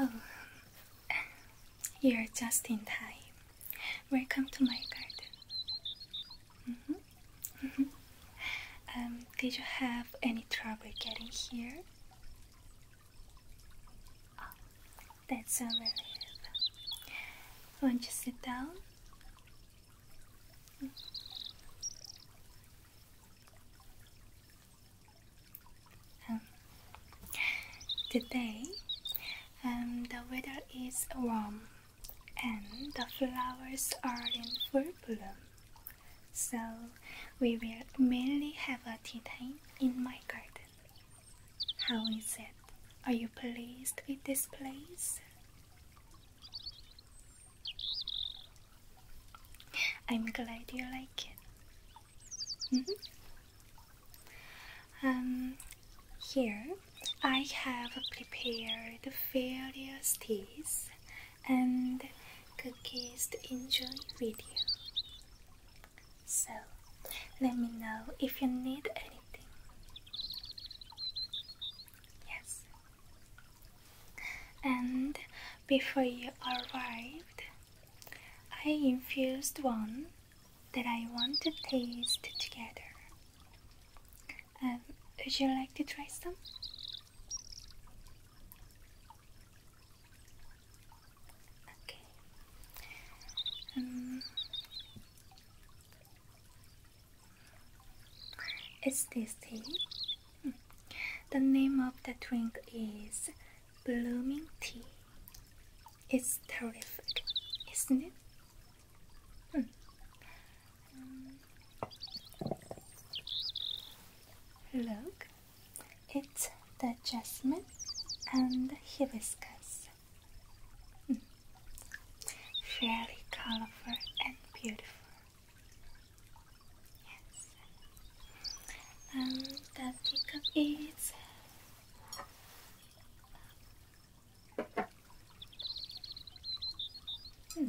Oh, you're just in time. Welcome to my garden. Mm-hmm, mm-hmm. Um, did you have any trouble getting here? That's a relief. Won't you sit down? Um, today, um, the weather is warm and the flowers are in full bloom. So, we will mainly have a tea time in my garden. How is it? Are you pleased with this place? I'm glad you like it. Mm-hmm. Um, here I have prepared various teas and cookies to enjoy with you. So, let me know if you need anything. Yes. And before you arrived, I infused one that I want to taste together. Um, would you like to try some? Okay. Um, it's this tea. Hmm. The name of the drink is Blooming Tea. It's terrific, isn't it? Hmm. look, it's the jasmine and hibiscus. Fairly colorful and beautiful. Yes. Um, the pickup is Hmm.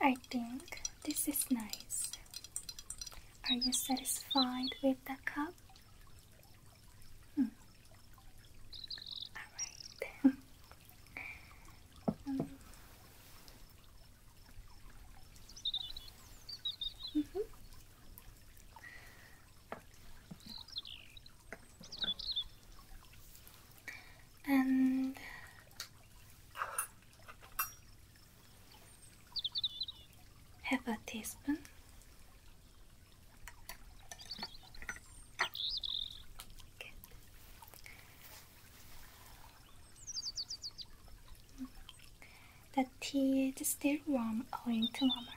I think this is nice. Are you satisfied with the cup? Hmm. Alright. Um. Mm-hmm. And Half a teaspoon. Good. The tea is still warm owing to warmer.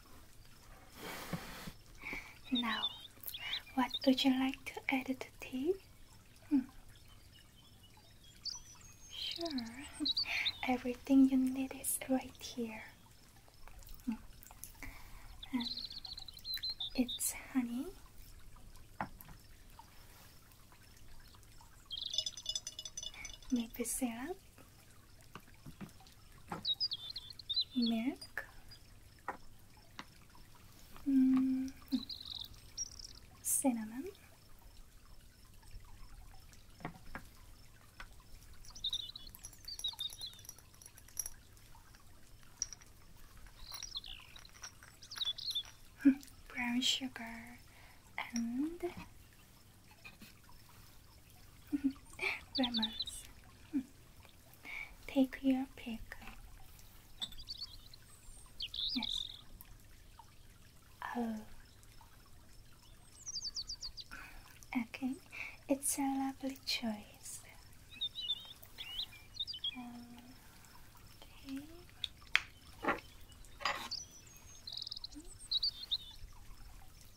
Now, what would you like to add to tea? Hmm. Sure, everything you need is right here. Hmm. Um, it's honey. Maple syrup milk hmm. cinnamon hmm. brown sugar and Romance. Take your pick. Yes. Oh. Okay, it's a lovely choice. okay.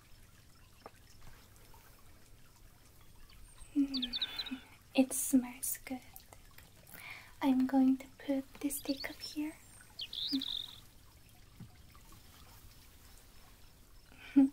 it smells good. I'm going to put this stick up here.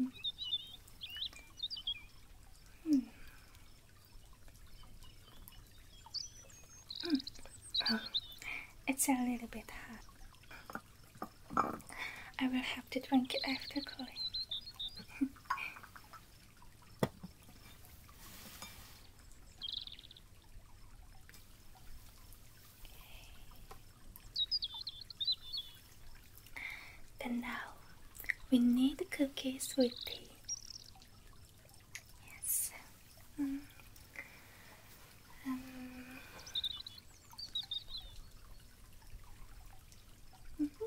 Mm. Mm. Oh, it's a little bit hot. I will have to drink it after cooling. But now we need cookies with tea. Yes. Mm. Um. Mm-hmm.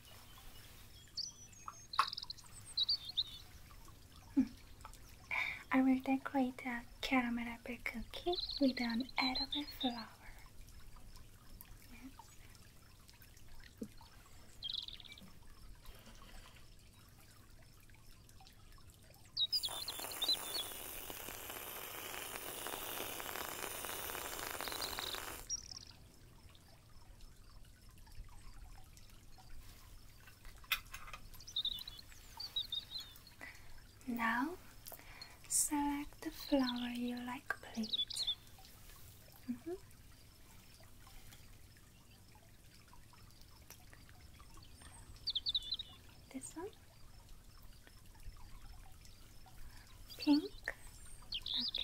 Hmm. I will decorate a caramel apple cookie with an edible flower. Now select the flower you like, please. Mm-hmm. This one, pink. Okay.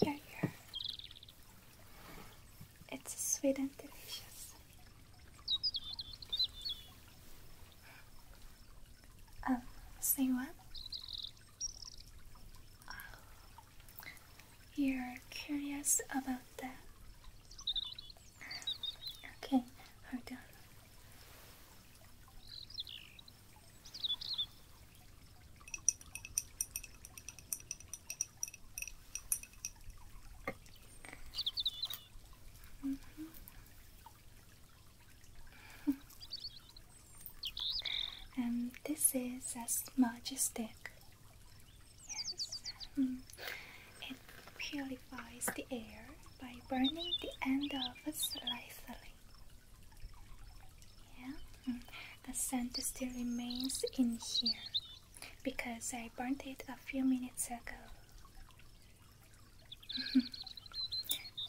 Here, here. It's sweet and delicious. Um, say what? Oh, you're curious about that? Okay, hold on. Mm-hmm. and this is a smudge stick. Yes, mm-hmm. it purifies the air by burning the end of slightly. Yeah. Mm-hmm the scent still remains in here because I burnt it a few minutes ago.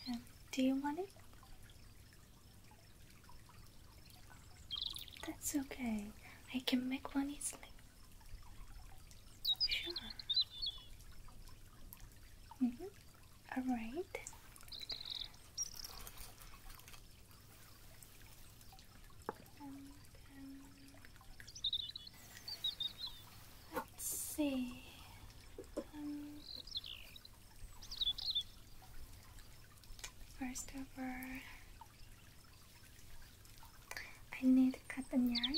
Um, do you want it? That's okay. I can make one easily. Sure. Mm-hmm. All right let's see. Um, first of all, I need cotton yarn.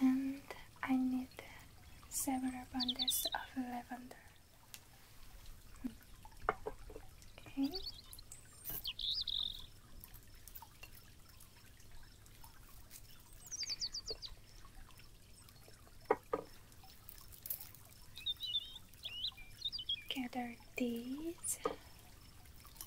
and I need several bundles of lavender. Hmm. Okay. Gather these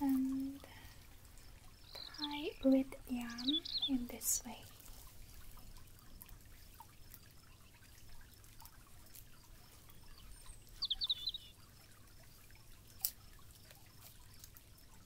and tie with yarn in this way.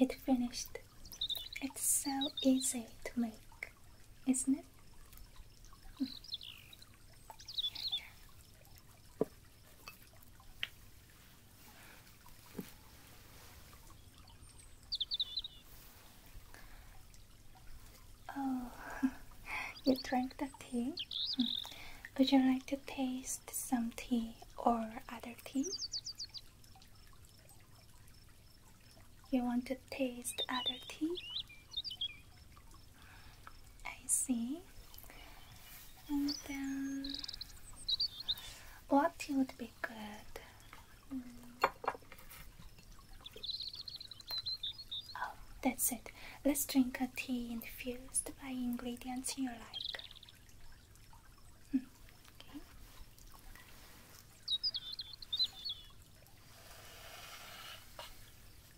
It finished. It's so easy to make, isn't it? Oh, you drank the tea? Hmm. Would you like to taste some tea or other tea? You want to taste other tea? I see. And then, what would be good? Hmm. Oh, that's it. Let's drink a tea infused by ingredients you like. Hmm,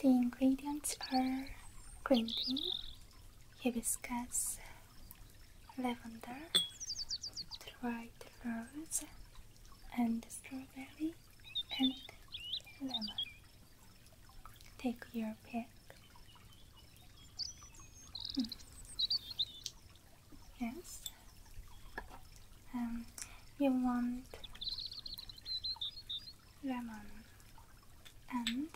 the ingredients are green tea, hibiscus, lavender, dried rose, and strawberry and lemon. Take your pick. Hmm. Yes. Um, you want lemon and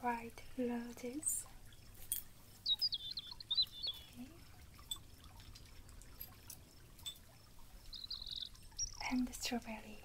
dried roses. Okay. And strawberry. Okay.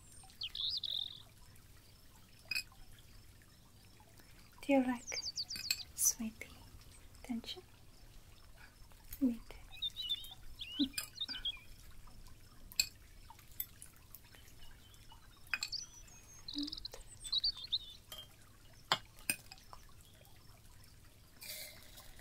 Do you like sweaty tension? Me too.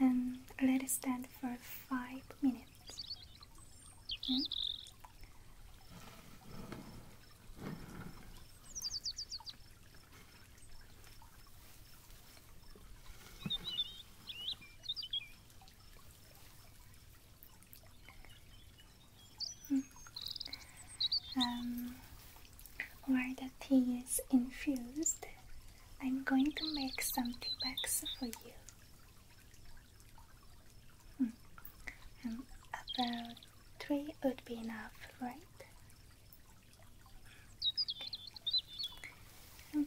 and um, um, let it stand for five minutes. Hmm? Mm. where the tea is infused, I'm going to make some tea bags for you. Hmm. about three would be enough, right? Hmm. Hmm.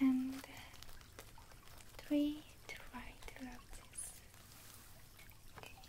and uh, three to Okay.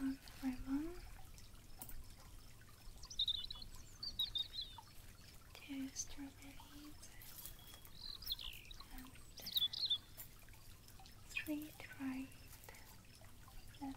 One ribbon, two strawberries, and three dried lemons.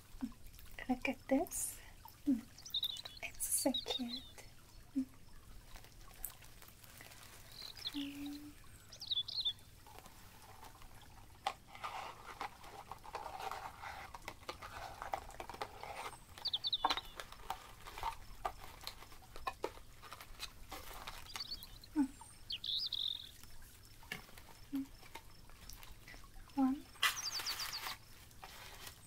Look at this. Hmm. It's so cute. Um,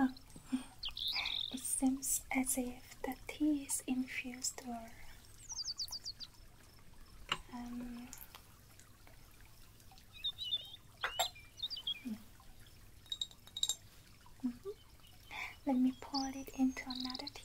Oh, it seems as if the tea is infused or um, let me pour it into another teacup.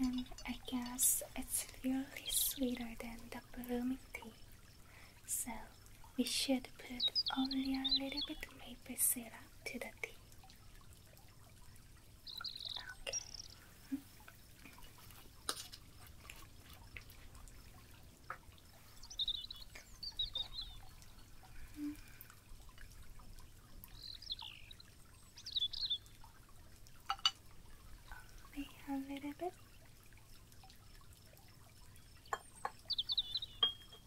And I guess it's really sweeter than the blooming tea, so we should put only a little bit maple syrup to the tea. Okay. Wait a little bit.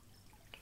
Okay.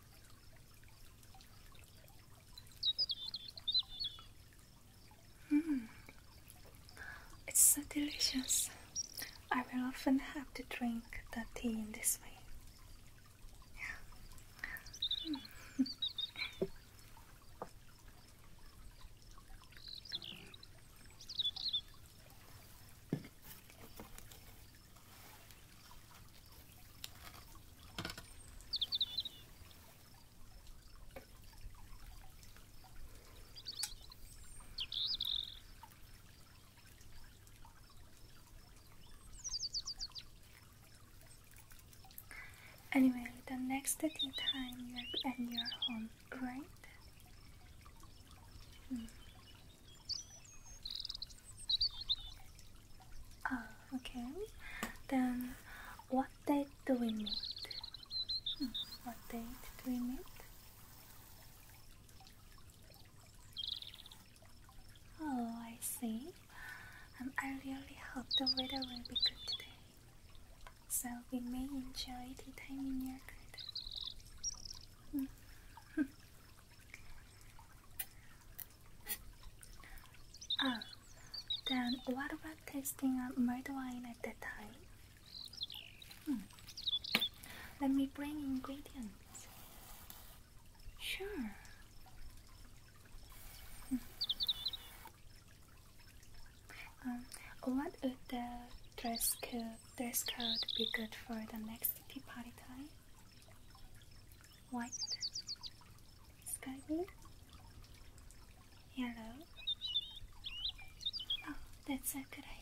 Mm. It's so delicious. I will often have to drink that tea in this way. Yeah. Hmm. Anyway, the next tea time you're at your home, right? Hmm. Ah, okay. Then what date do we meet? Hmm, what date do we meet? Oh, I see. Um, I really hope the weather will be good today. So we may enjoy the time in your garden. Hmm. Oh, then what about tasting a mulled wine at that time? Hmm. Let me bring ingredients. Sure. Hmm. Um, what would the dress code, dress code be good for the next tea party time? white, sky blue, yellow. Oh, that's a good idea.